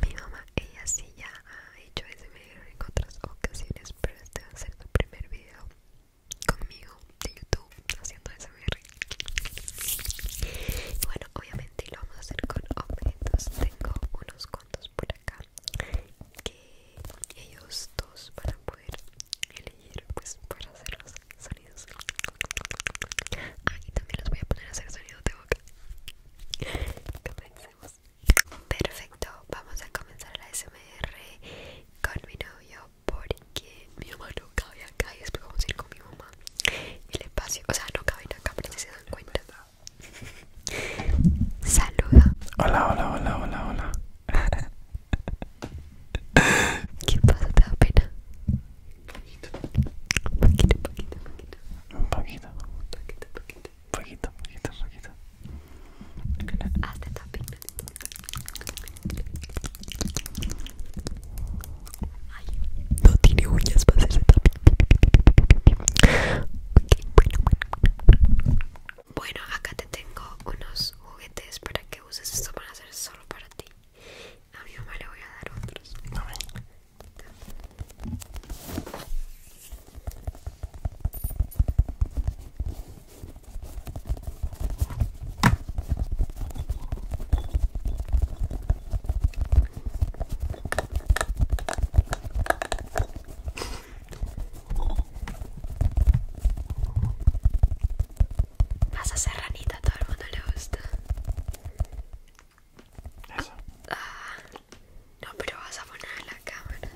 Mi mamá, ella sí ya ha hecho SMR en otras ocasiones, pero este va a ser el primer video conmigo de YouTube haciendo SMR. Y bueno, obviamente lo vamos a hacer con objetos. Tengo unos cuantos por acá que ellos dos van a poder elegir pues para hacer los sonidos. Ah, y también los voy a poner a hacer sonidos de boca. Comencemos. Perfecto, vamos a comenzar la SMR con mi novio porque mi mamá no cabe acá y después vamos a ir con mi mamá. El espacio, o sea, no caben acá, pero si se dan cuenta. Saluda. Hola, hola, hola, hola, hola. ¿Qué pasa? ¿Te da pena? Un poquito, poquito, poquito. Un poquito. Un poquito, poquito. Fueguito, poquito poquito Hazte tapping. Ay. No tiene uñas para hacer tapping. bueno, acá te tengo unos juguetes para que uses. Esto para a solo para ti. A mi mamá le voy a dar otros. No, Vas a ser ranita, a todo el mundo le gusta. Ah. no, pero vas a poner la cámara.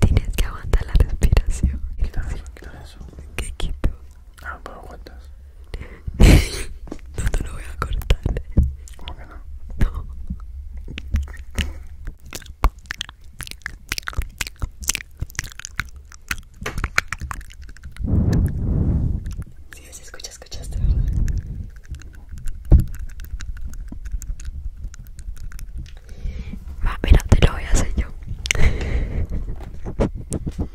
Tienes que aguantar la respiración. ¿Qué quito? Ah, no te lo voy a cortar. ¿Cómo que no? No. Si sí, se escucha, escuchaste, ¿verdad? Va, mira, te lo voy a hacer yo.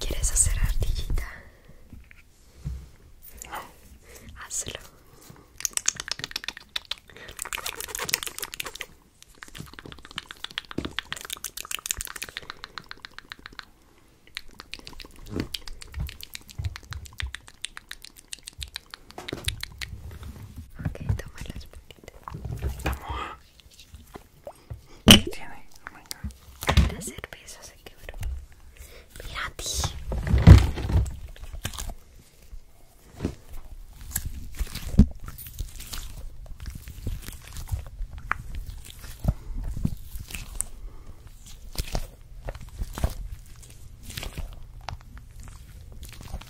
¿Quieres hacer artillita? Hazlo. Okay, toma las puntitas. Vamos. ¿Qué tiene? Oh my God. La cerveza se quebró. Mira a ti.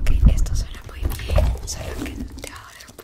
Okay, esto suena muy bien, solo que te va a dar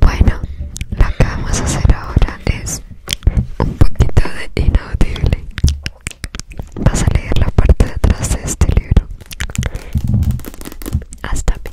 Bueno, lo que vamos a hacer ahora es un poquito de inaudible. Vas a leer la parte de atrás de este libro. Hasta aquí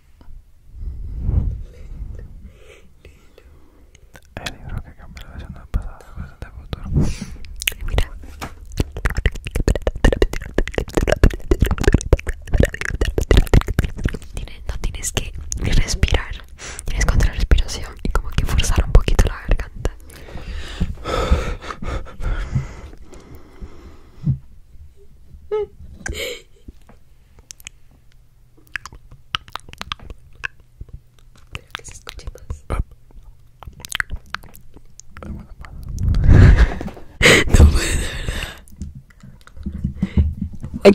El libro que cambió la versión del pasado, presente del futuro. Mira. No tienes que respirar, tienes que contra respiración y como que forzar un poquito la garganta que se escuche más. No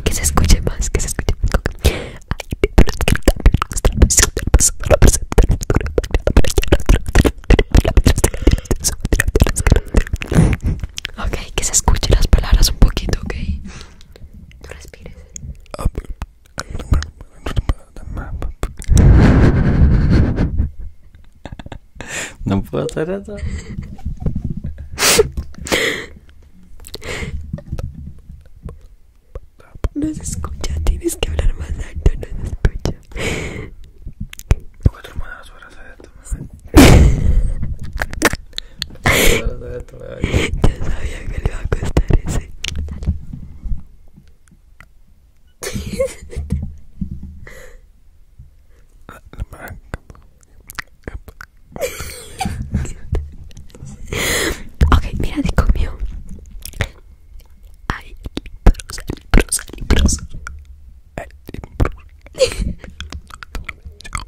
Que se escuche más, que se escuche más. Ok, que se escuche las palabras un poquito, ok. No respires. No puedo hacer eso. No se escucha, tienes que hablar más alto, no se escucha. qué las ya sabía que le iba a costar ese. Dale. Ah, Ok, mira, te comió. Hay limbrosa, limbrosa, limbrosa. Hay limbrosa. Toma, mira.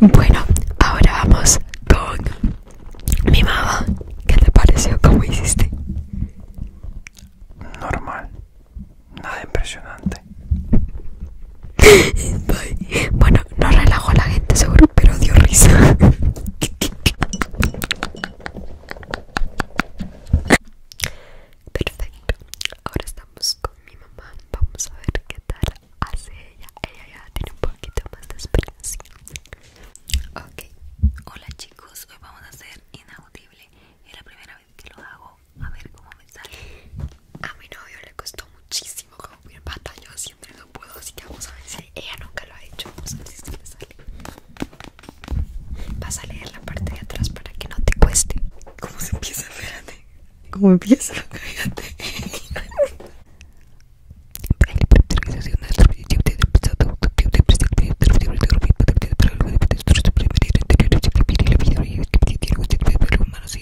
Bueno, ahora vamos con mi mamá. ¿Qué te pareció? ¿Cómo hiciste? Normal, nada impresionante. Bueno, no relajo a la gente seguro, pero dio risa. Perfecto. Ahora estamos con mi mamá. Vamos a ver qué tal hace ella. Ella ya tiene un poquito más de experiencia. Ok. Hola chicos, hoy vamos a hacer inaudible. Es la primera vez que lo hago. A ver cómo me sale. A mi novio le costó muchísimo como batallos no puedo, así que vamos a ver si ella nunca lo ha hecho. Vamos a ver si sale. Vas a leer la parte de atrás para que no te cueste. ¿Cómo se empieza? Fíjate. ¿Cómo empieza? Fíjate.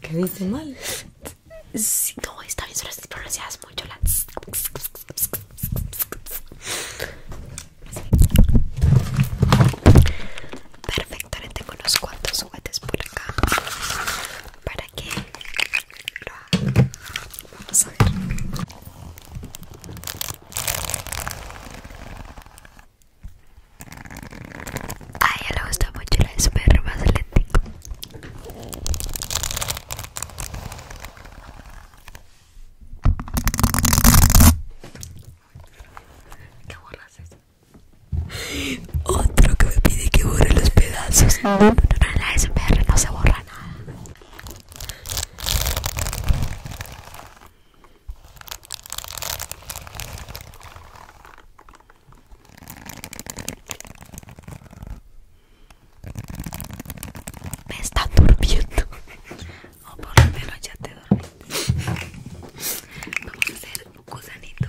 qué dice mal. Sí, no, está bien, solo las pronunciadas mucho la. Perfectamente Perfecto, ahora tengo unos cuantos juguetes por acá. Para que lo Vamos ver. A ella le gusta mucho la SPR, más tengo. ¿Qué borras eso? Otro que me pide que borre los pedazos. No, no, en la SPR no se borra nada. Me está durmiendo. O por lo menos ya te dormí. Vamos a hacer un gusanito.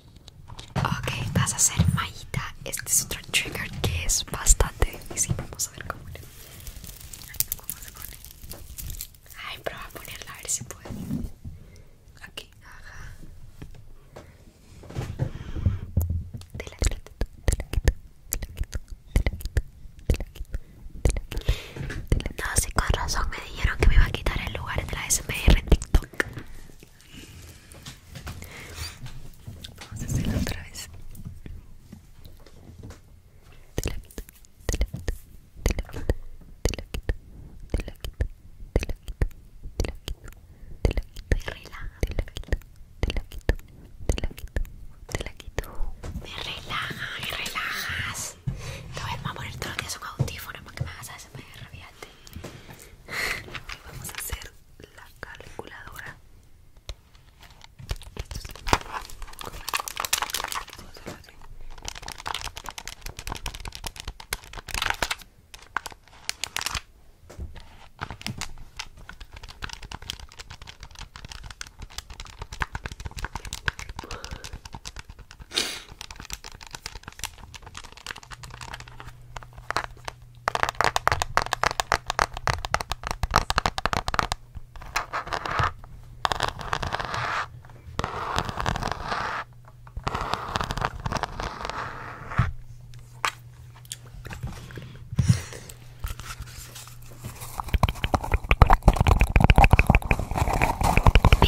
Ok, vas a hacer mallita. Este es otro trigger que es bastante difícil. Vamos a ver cómo, le... cómo se pone. Ay, proba a ponerla a ver si puede. Aquí, ajá. No, sí, con razón me dijeron que me iba a quitar el lugar de la SMR en TikTok. Vamos a hacerlo otra vez. Te la quito, te la quito, te la quito, te quito, te quito, te quito, te quito, te quito, relaja, quito, te quito, te Me relaja, relajas. a poner que para que me hagas vamos a hacer la calculadora y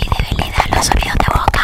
debilidad los sonidos de boca.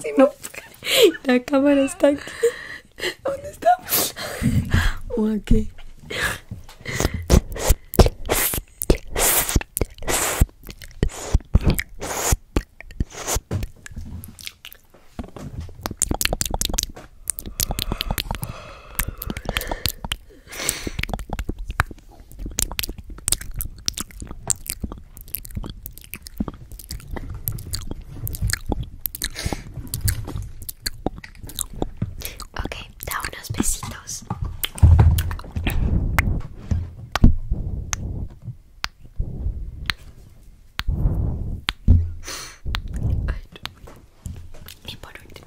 si no, la cámara está aquí. ¿Dónde está? ¿O Ok, da unos besitos. Y por último,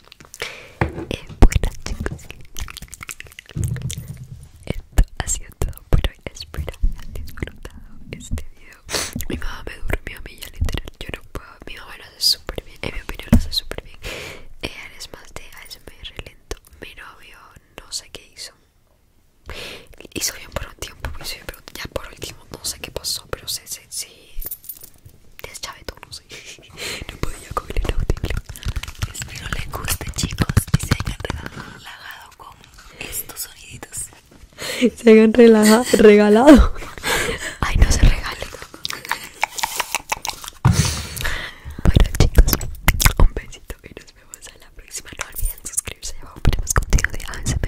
Eh, buenas chicos Esto ha sido todo por hoy Espero que hayan disfrutado este video Mi mamá me durmió a mí ya literal Yo no puedo, mi mamá lo hace súper bien En mi opinión lo hace súper bien Ella eh, es más de ASMR lento Mi novio no sé qué hizo Hizo bien por un tiempo hizo pues, bien, pero Ya por último no sé qué pasó Pero sé sí, sí deschavetó, no sé. No podía comer el autículo. Espero les guste, chicos, y se hayan relajado con estos soniditos. Se hayan relaja regalado. Ay, no se regalen. Bueno, chicos, un besito y nos vemos a la próxima. No olviden suscribirse. Abajo ponemos contigo de ASMR.